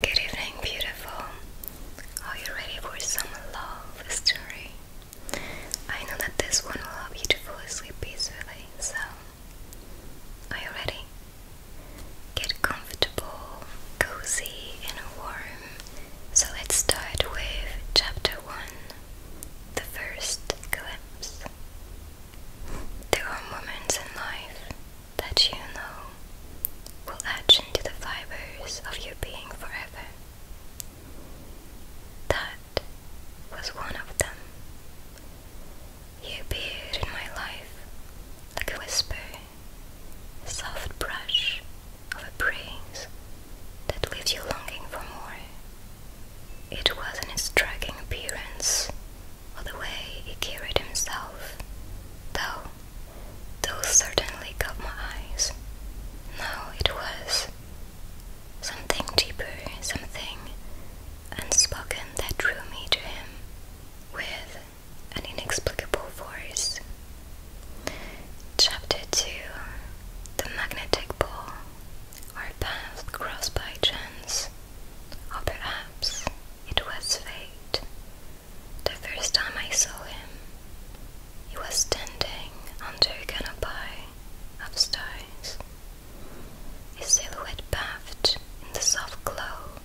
Good evening, beautiful. Are you ready for some love story? I know that this one will help you to fall asleep peacefully, so are you ready? Get comfortable, cozy, and warm. So let's start with chapter 1 The First Glimpse. There are moments in life that you know will etch into the fibers of your being forever. That was one of them. You appeared in my life like a whisper, a soft brush of a breeze that leaves you longing for more. It was an striking appearance or the way he carried himself, though those certainly caught my eyes. No, it was something deeper, something unspoken that drew me to him with an inexplicable force. Chapter 2 The Magnetic Pole. Our path crossed by chance or perhaps it was fate. The first time I saw him, he was standing under a canopy of stars, his silhouette bathed in the soft glow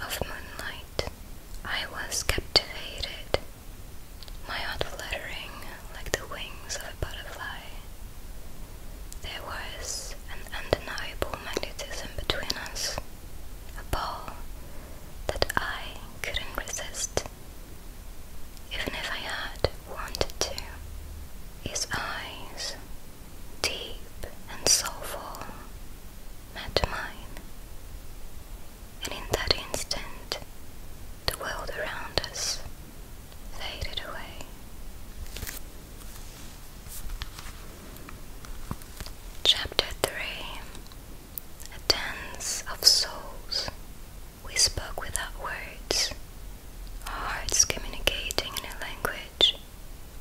of moonlight. I was captivated, my heart fluttering like the wings of a butterfly there was an undeniable magnetism between us, a pull that I couldn't resist, even if I had wanted to. His eyes, deep and soulful, met mine, and in that instant, the world around us faded away. Chapter 3 A Dance of Souls. We spoke without words, our hearts communicating in a language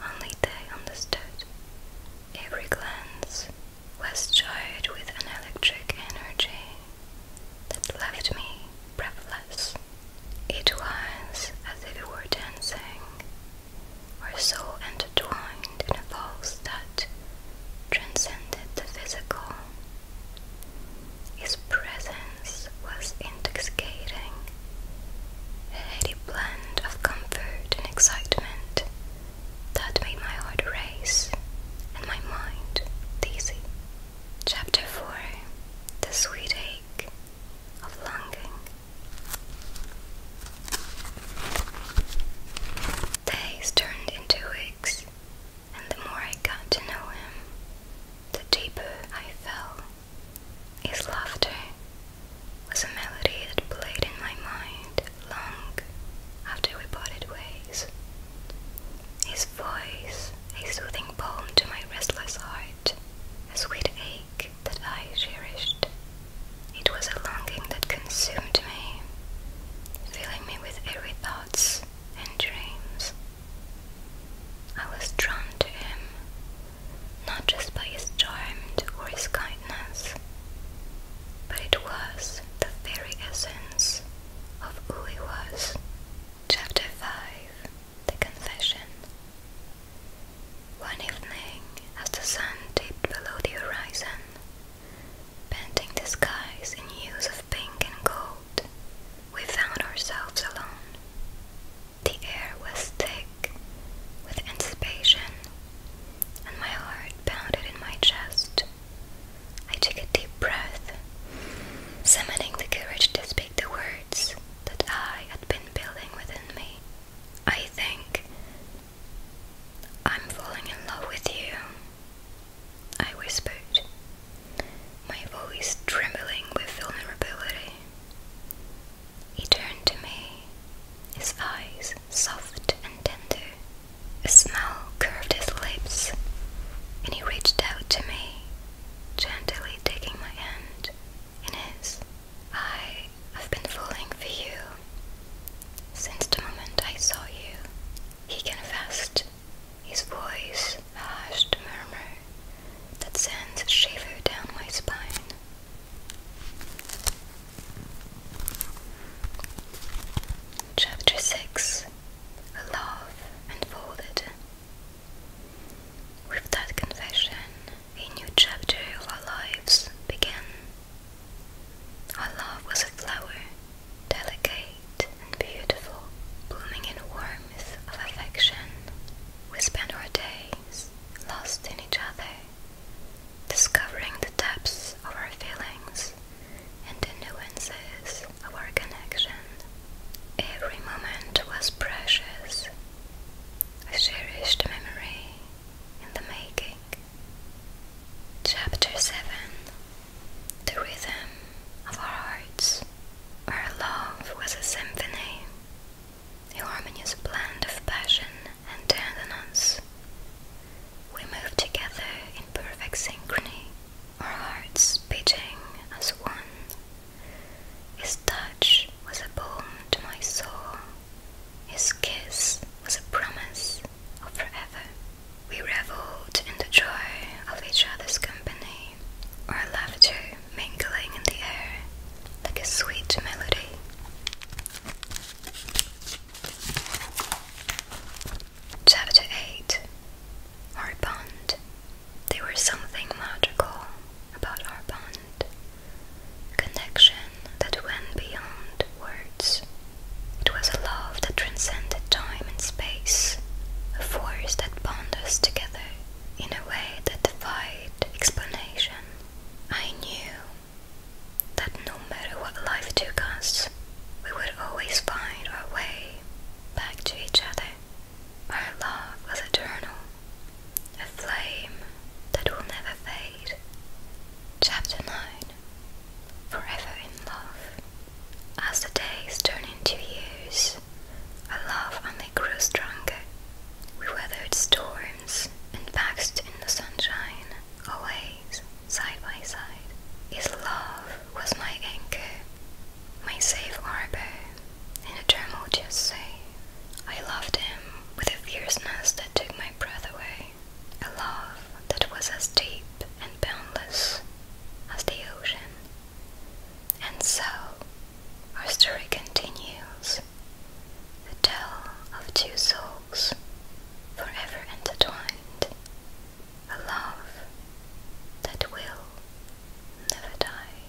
only they understood. Every glance was charged with an electric energy that left me breathless. It was as if we were dancing, Our souls intertwined in a pulse that transcended the physical. His presence was intoxicating, a heady blend of comfort and excitement that made my heart race and my mind dizzy. Chapter 4 The Sweet Ache of Longing. Days turned into weeks, and the more I got to know him, the deeper I fell. His laughter was a melody that played in my mind long after we parted ways. His voice, a soothing balm to my restless heart, a sweet ache that I cherished. It was a longing that consumed me, filling me with eerie thoughts and dreams. I was drawn to him, not just by his charm or his kindness, but it was the very essence of who he was. Chapter 5 The Confession One evening, as the sun dipped below the horizon, painting the skies in hues of pink and gold, we found ourselves alone. The air was thick with anticipation, and my heart pounded in my chest. I took a deep breath, summoning the courage to speak the words that I had been building within me. I think I'm falling in love with you, I whispered, my voice trembling with vulnerability. He turned to me, his eyes soft and tender. A smile curved his lips, and he reached out to me, gently taking my hand in his. I have been falling for you since the moment I saw you, he confessed, his voice a hushed murmur that sends a shiver down my spine. Chapter 6 Love Unfolded. With that confession, a new chapter of our lives began. Our love was a flower, delicate and beautiful, blooming in warmth of affection. We our days lost in each other, discovering the depths of our feelings and the nuances of our connection. Every moment was precious, a cherished memory in the making. Chapter 7 The Rhythm of Our Hearts Our love was a symphony, the harmonious blend of passion and tenderness. We move together in perfect synchrony, our hearts beating as one. His touch was a balm to my soul, his kiss was a promise of forever. We reveled in the joy of each other's company harmony or laughter mingling in the air like a sweet melody. Chapter 8 Our Bond. There was something magical about our bond, a connection that went beyond words. It was a love that transcended time and space, a force that bound us together in a way that defied explanation. I knew that no matter what life took us, we would always find our way back to each other. Our love was eternal, a flame that will never fade. Chapter 9 Forever in Love. As the days turn into years, our love they grew stronger. We weathered storms and basked in the sunshine, always side by side. His love was my anchor, my safe harbor in a tumultuous sea. I loved him with a fierceness that took my breath away, a love that was as deep and boundless as the ocean. And so our story continues the tale of two souls forever intertwined, a love that will never die.